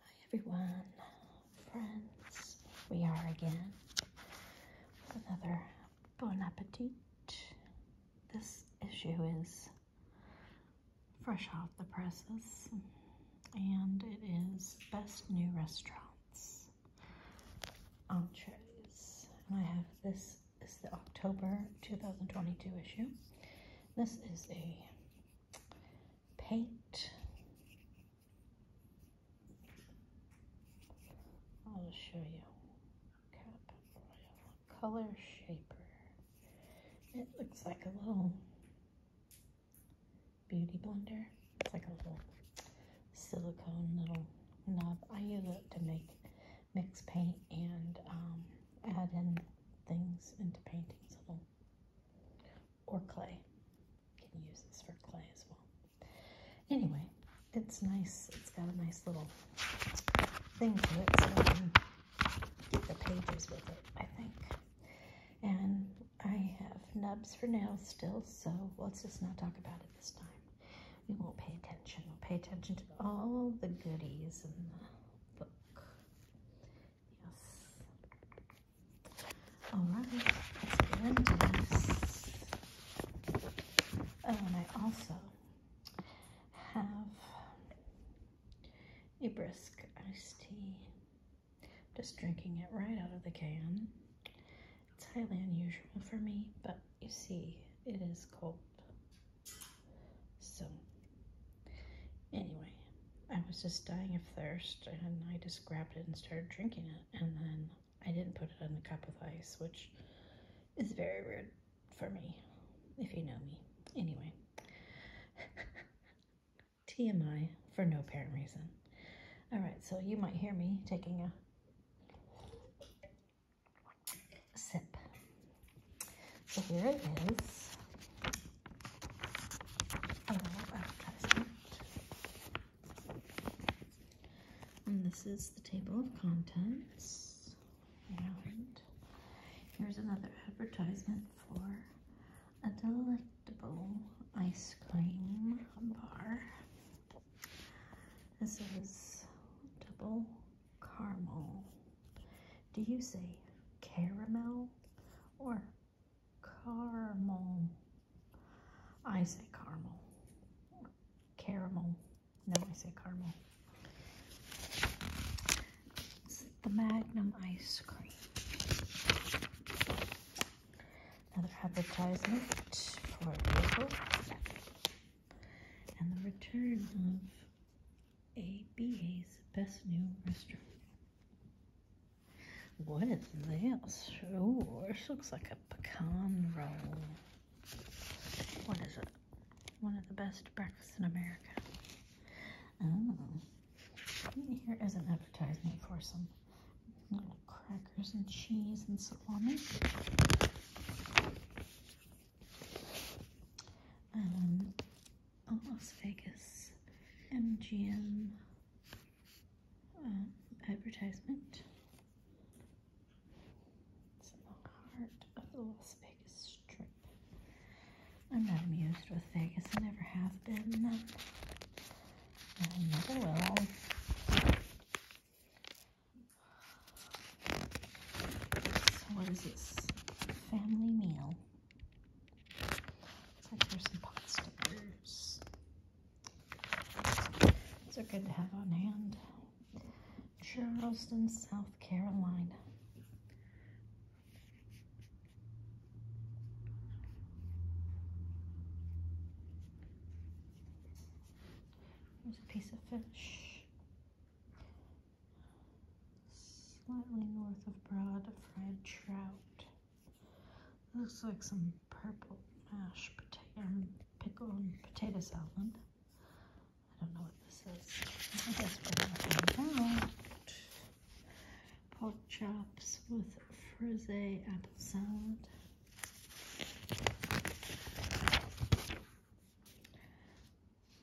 Hi everyone, friends. We are again with another Bon Appetit. This issue is fresh off the presses and it is Best New Restaurants Entrees. And I have this is the October 2022 issue. This is a paint. I'll show you. Color shaper. It looks like a little beauty blender. It's like a little silicone little knob. I use it to make mix paint and um, add in things into paintings or clay. can use this for clay as well. Anyway, it's nice. It's got a nice little thing to it so I can get the pages with it, I think. And I have nubs for nails still, so let's just not talk about it this time. We won't pay attention. We'll pay attention to all the goodies in the book. Yes. All right. Let's get into this. Oh, and I also have a brisk iced tea. Just drinking it right out of the can. It's highly unusual for me, but you see, it is cold. So anyway, I was just dying of thirst and I just grabbed it and started drinking it. And then I didn't put it in a cup with ice, which is very weird for me, if you know me. Anyway, TMI for no apparent reason. All right, so you might hear me taking a sip so here it is. Oh, and this is the table of contents. And here's another advertisement for a delectable ice cream bar. This is double caramel do you say caramel or caramel? I say caramel. Caramel. No, I say caramel. the Magnum ice cream. Another advertisement for Ripple and the return of ABA's best new restaurant. What is this? Oh, this looks like a pecan roll. What is it? One of the best breakfasts in America. Oh. Here is an advertisement for some little crackers and cheese and salami. Um, a oh, Las Vegas MGM um, advertisement. It's in the heart of the Las Vegas Strip. I'm not amused with Vegas. I never have been. Um, I never will. what is this? Family meal there's some pot stickers. These are good to have on hand. Charleston, South Carolina. There's a piece of fish slightly north of Broad fried trout. Looks like some purple mashed potato, um, pickle and um, potato salad. I don't know what this is. I guess we're going to find out. Pot chops with frisée apple salad.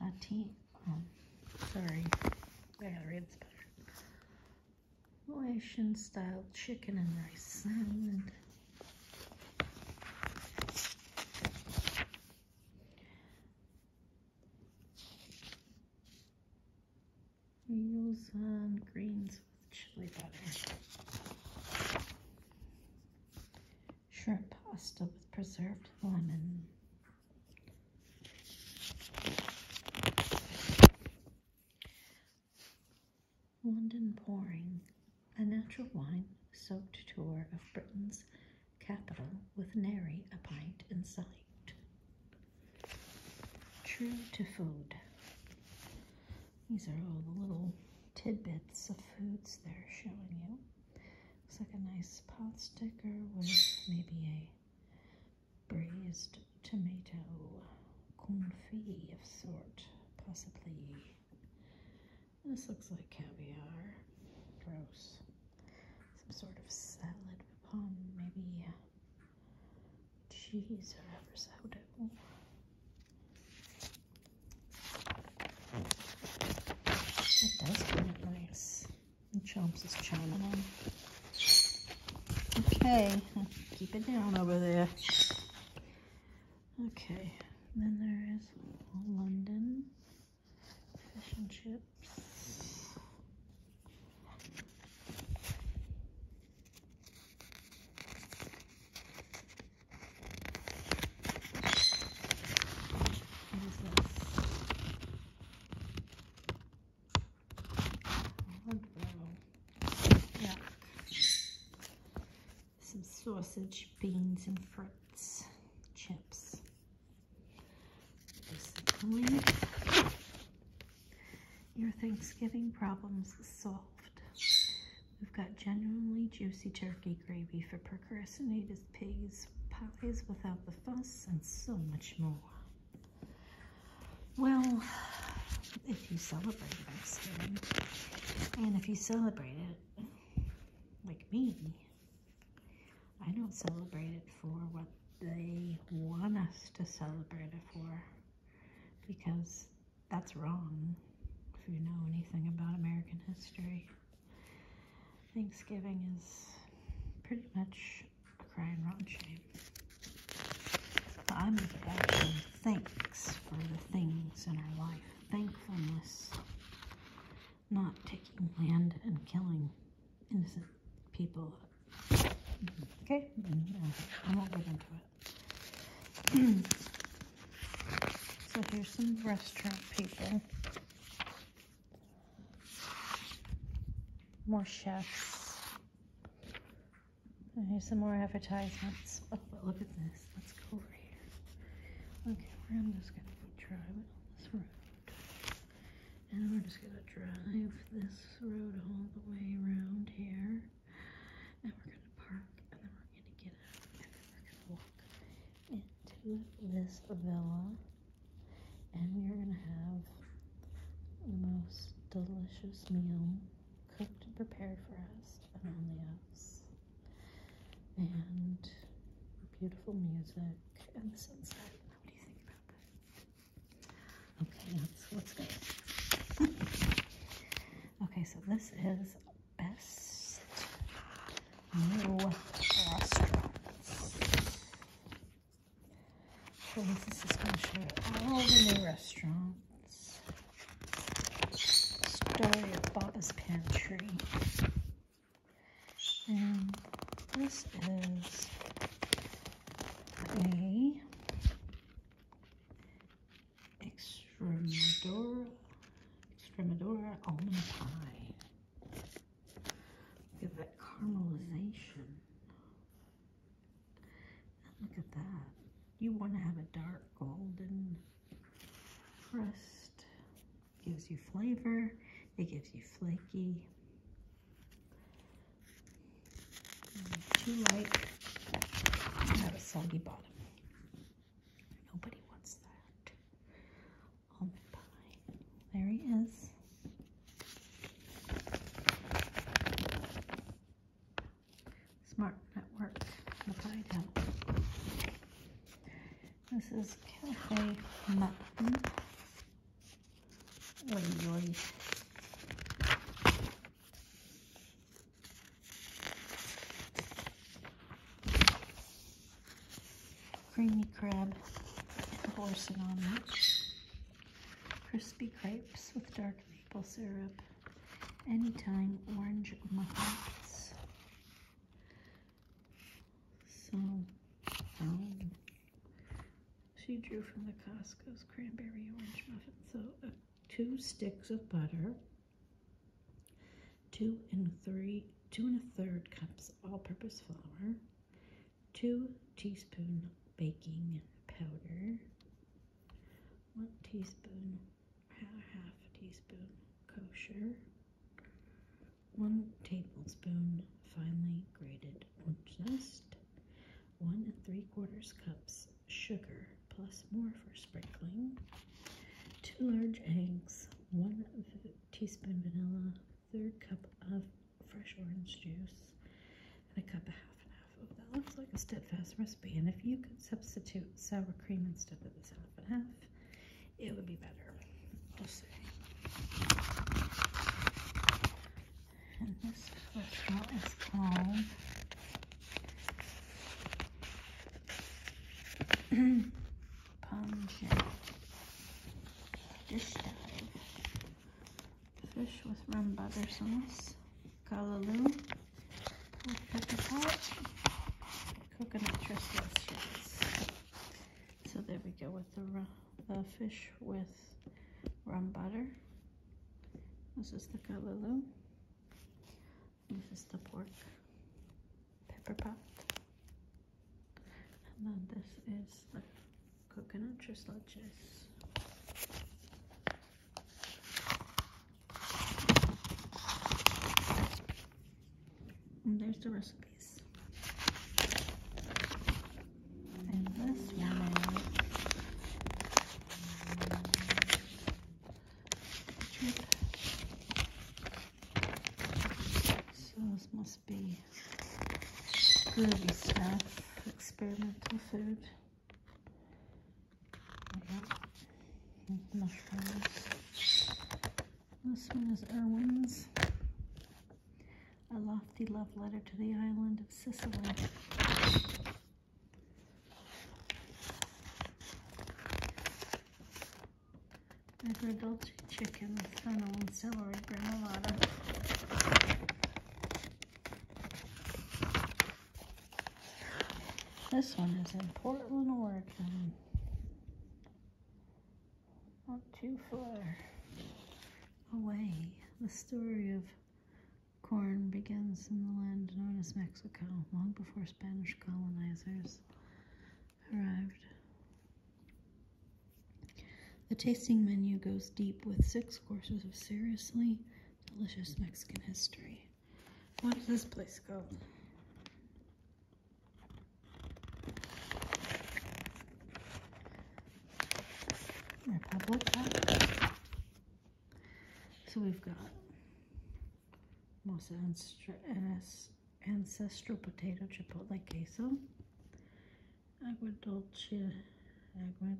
My tent. Oh, sorry. I gotta read this better. Malaysian style chicken and rice salad. Meals on greens with chili butter. Shrimp pasta with preserved lemon. London Pouring, a natural wine soaked tour of Britain's capital with nary a pint in sight. True to food. These are all the little tidbits of foods they're showing you. Looks like a nice pot sticker with maybe a braised tomato confit of sort, possibly. This looks like caviar. Gross. Some sort of salad upon maybe uh, cheese or ever It does look nice. And Chomps is chiming in. Okay, keep it down over there. Okay, then there is London fish and chips. What is this? Some sausage, beans, and fruits, chips. Your Thanksgiving problems solved. We've got genuinely juicy turkey gravy for procrastinators pays pies without the fuss and so much more. Well, if you celebrate Thanksgiving, and if you celebrate it like me, I don't celebrate it for what they want us to celebrate it for because that's wrong if you know anything about American history. Thanksgiving is pretty much crying rotten shame. I'm actually thanks for the things in our life. Thankfulness, not taking land and killing innocent people. Okay, I am not getting into it. so here's some restaurant people. More chefs. here's some more advertisements. Oh, but look at this. Let's go over here. Okay, I'm just gonna try it this road. And we're just gonna drive this road all the way around here. And we're gonna park and then we're gonna get out and then we're gonna walk into this villa and we are going to have the most delicious meal cooked and prepared for us and all the us. And beautiful music and the sunset. What do you think about that? Okay, let's, let's go. okay, so this is best new restaurants. this is going to show all the new restaurants. Story of Baba's Pantry. And this is a Extremadura, Extremadura almond pie. Look at that caramelization. Look at that. You want to have a dark golden crust. Gives you flavor. It gives you flaky. Too light. Got a soggy bottom. Nobody wants that. There he is. Smart Network, This is Cafe Mutton. Oy, oy creamy crab boursin omelet, crispy crepes with dark maple syrup, anytime orange muffins. So, um, she drew from the Costco's cranberry orange muffins. So, uh, two sticks of butter, two and three, two and a third cups all-purpose flour, two teaspoon baking powder, one teaspoon, half teaspoon kosher, one tablespoon finely grated orange zest, one and three quarters cups sugar plus more for sprinkling, two large eggs, one teaspoon vanilla, third cup of fresh orange juice, and a cup of half and half. that looks like a steadfast recipe, and if you could substitute sour cream instead of this half and half, it would be better. I'll say. this restaurant is called pungent. This time, fish with rum butter sauce, callaloo, coconut trestle shells. So there we go with the, the fish with rum butter. This is the callaloo. This is the pork pepper pot. And then this is the coconut slushes. And there's the recipes. And this one so this must be groovy stuff, experimental food. Mushrooms. This one is Irwin's. A lofty love letter to the island of Sicily. I grilled chicken with fennel and celery granola. This one is in Portland, Oregon. Not too far away. The story of corn begins in the land known as Mexico, long before Spanish colonizers arrived. The tasting menu goes deep with six courses of seriously delicious Mexican history. What is this place called? Republica. So we've got Mosa and Ennis ancestral potato chipotle queso, agua dolce, agua,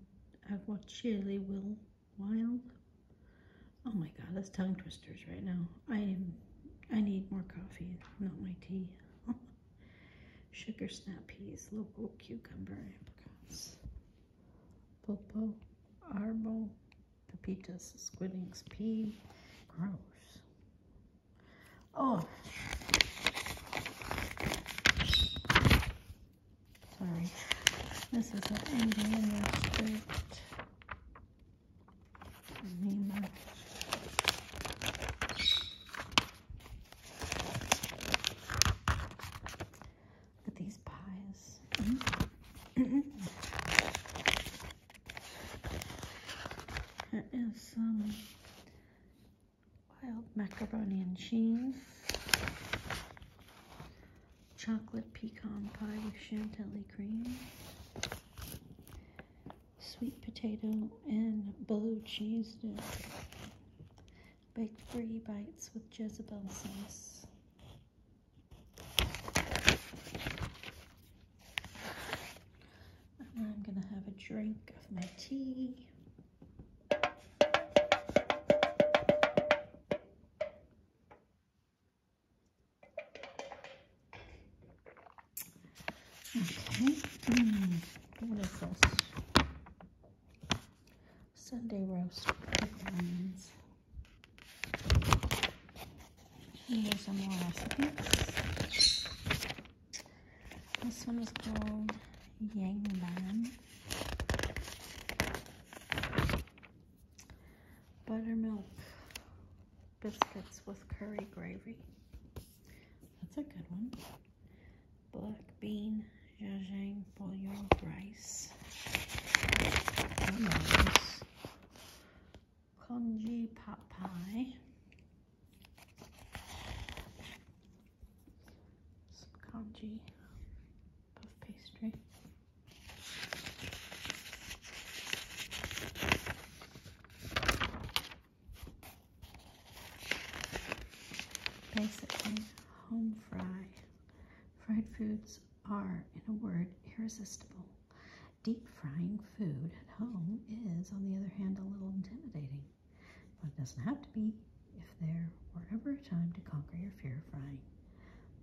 agua will wild. Oh my god, that's tongue twisters right now. I am, I need more coffee, not my tea. Sugar snap peas, local cucumber apricots, popo, arbol, Pepitas, squid ink, pea. Gross. Oh. Sorry. This is an Indian restrict. Nima. Look at these pies. Mm-hmm. Mm-hmm. There is some wild macaroni and cheese, chocolate pecan pie with chantilly cream, sweet potato and blue cheese dip, baked brie bites with Jezebel sauce, and I'm going to have a drink of my tea. Okay, mm, what is this? Sunday roast pecans. Here's some more recipes. This one is called Yangban Buttermilk biscuits with curry gravy. That's a good one. Black bean, jajang, bouillon rice congee pot pie. Some congee puff pastry. Basically, home fry. Fried foods are, in a word, irresistible. Deep frying food at home is, on the other hand, a little intimidating, but it doesn't have to be if there were ever a time to conquer your fear of frying.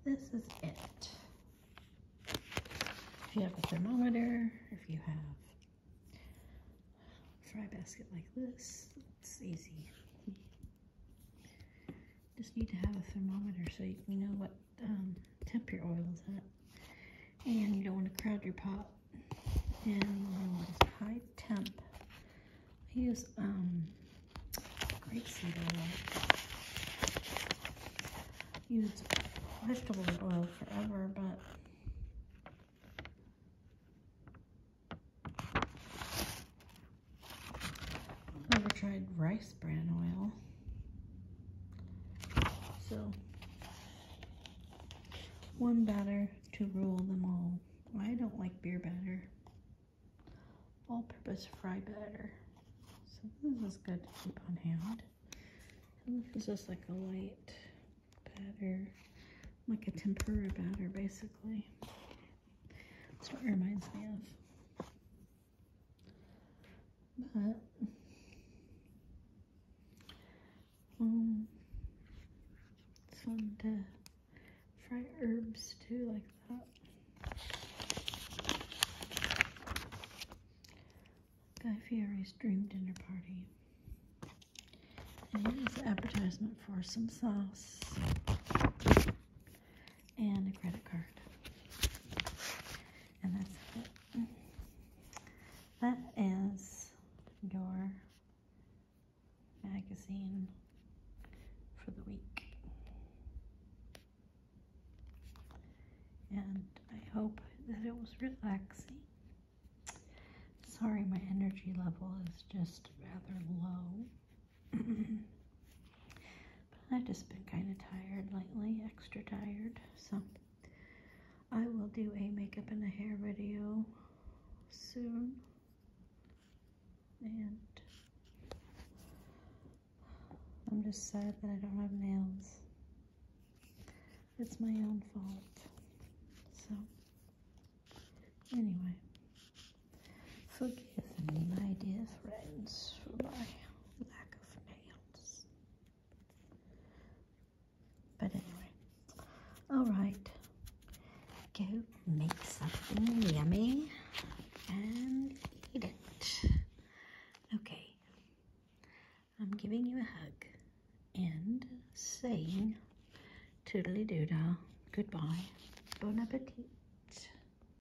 This is it. If you have a thermometer, if you have a fry basket like this, it's easy just need to have a thermometer so you know what um, temp your oil is at. And you don't want to crowd your pot. And you want know, high temp. I use um, grapeseed oil. Used vegetable oil forever, but I've never tried rice bran oil. So, one batter to rule them all. I don't like beer batter. All-purpose fry batter. So this is good to keep on hand. this is just like a light batter, like a tempura batter basically. That's what it reminds me of. But it's um, fun to fry herbs too like that. Guy Fieri's dream dinner party. And here's the appetizement for some sauce and a credit card. And that's it. That is your magazine for the week. And I hope that it was relaxing. Sorry, my energy level is just rather low. I've just been kind of tired lately, extra tired. So I will do a makeup and a hair video soon. And I'm just sad that I don't have nails. It's my own fault. So, anyway, forgive me, my dear friends, for my lack of nails. But anyway, all right, go make something yummy and eat it. Okay, I'm giving you a hug and saying toodly doodah, goodbye, bon appetit.